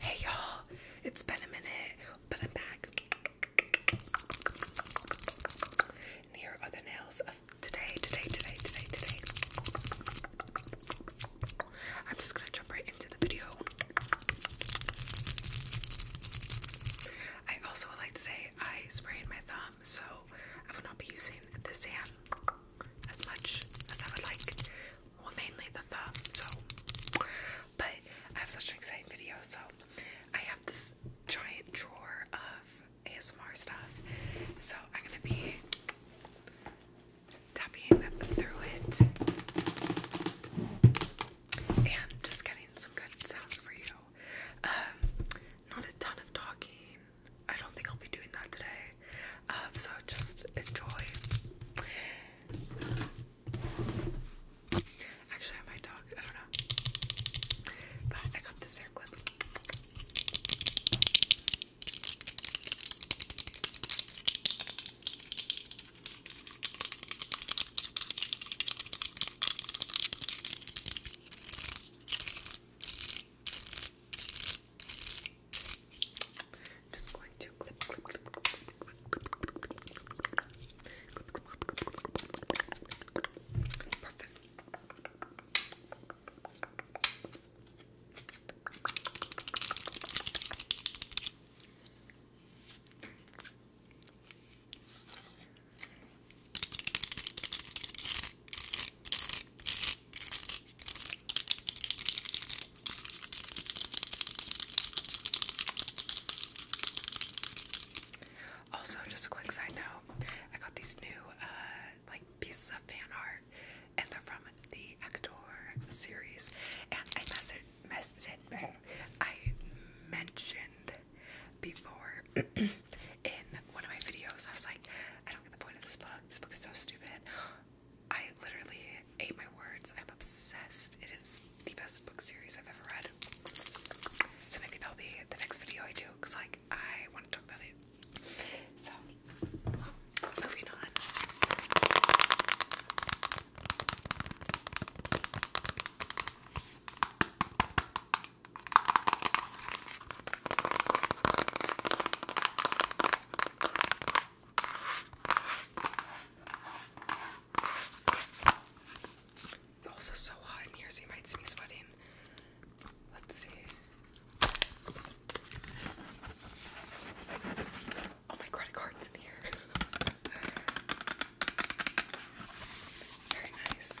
Hey y'all, it's been a minute, but I'm back. here are the nails of today, today, today, today, today. I'm just gonna jump right into the video. I also would like to say I sprayed my thumb, so I will not be using this hand as much as I would like well mainly the thumb so but I have such an exciting video so I have this giant drawer of ASMR stuff so I'm gonna be tapping through it and just getting some good sounds for you um, not a ton of talking I don't think I'll be doing that today um, so just enjoy. Actually, I might talk, I don't know. But I got this hair clip. Just going to clip, clip, clip, clip, clip. Perfect. Also, just a quick side note, I got these new uh, like pieces of fan art and they're from the Actor series and I messaged messaged I mentioned before in one of my videos I was like I don't get the point of this book. This book is so stupid. I literally ate my words. I'm obsessed. It is the best book series I've ever read. So maybe that'll be the next video I do because, like, I want to talk about it. So, moving on. It's also so hot in here, so you might see me sweating. Let's see. Oh, my credit card's in here. Very nice.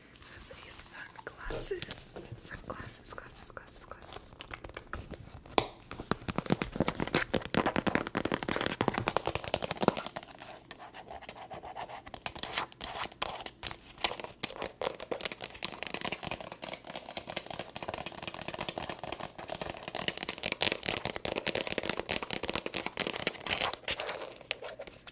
This is sunglasses. Sunglasses, glasses, glasses, glasses.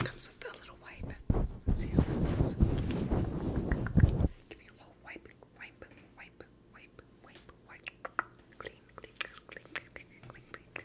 It comes with a little wipe. Give me a whole wipe, wipe, wipe, wipe, wipe, wipe. clean, clean, clean, clean, clean, clean, clean.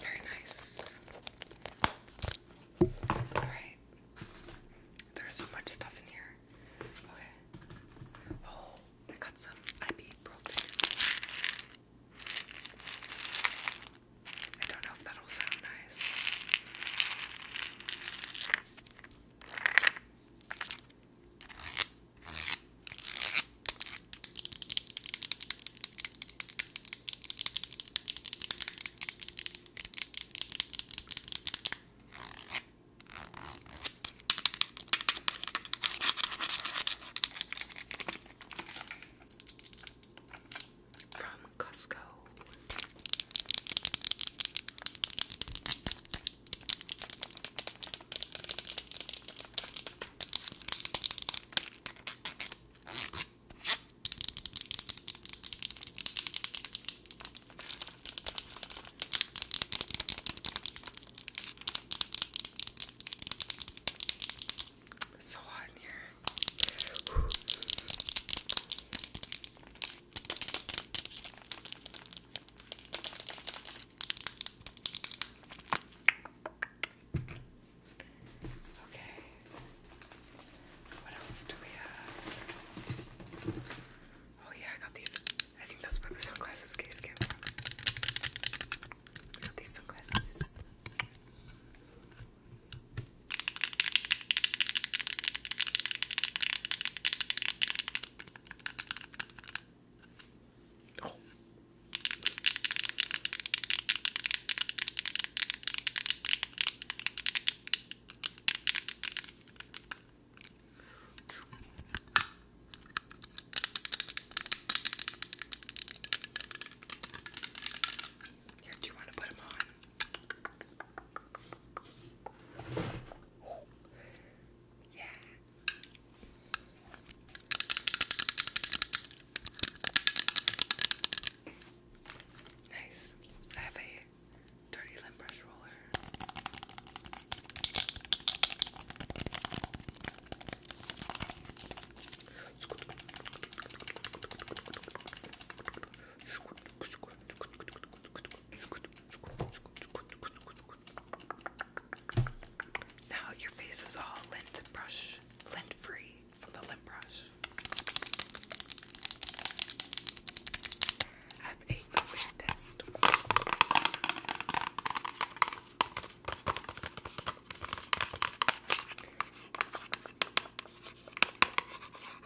Very nice. Alright. There's so much stuff in here. Okay. Oh, I got some I don't know if that'll sound nice. From Costco. It's so hot in here. Okay. What else do we have? Oh yeah, I got these. I think that's where the sunglasses case came from. I got these sunglasses. Oh. Here, do you want to put them on? Ooh. Yeah. Nice. I have a dirty limb brush roller. Now your face is all lint brush, lint free from the lint brush. have a COVID test.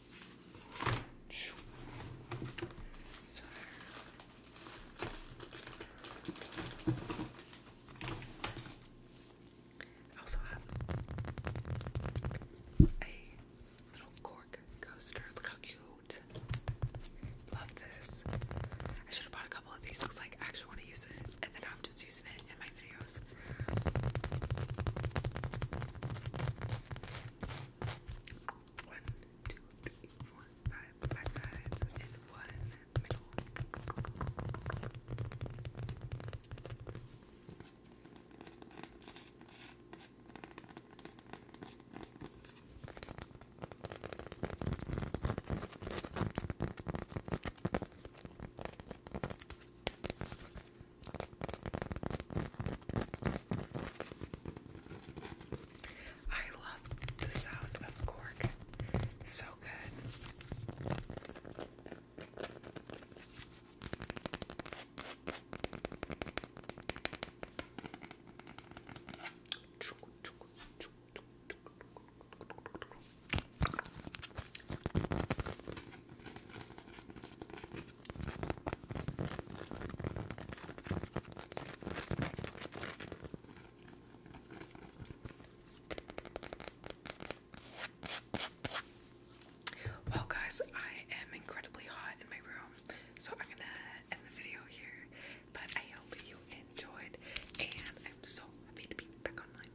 I also have a little cork coaster. Look how cute. Love this. I should have bought a couple of these because like, I actually want to use it and then I'm just using it in my videos. One, two, three, four, five, five sides and one middle. I love the sound of cork. So good. Well, guys, I am incredibly hot in my room, so I'm gonna end the video here. But I hope you enjoyed, and I'm so happy to be back online.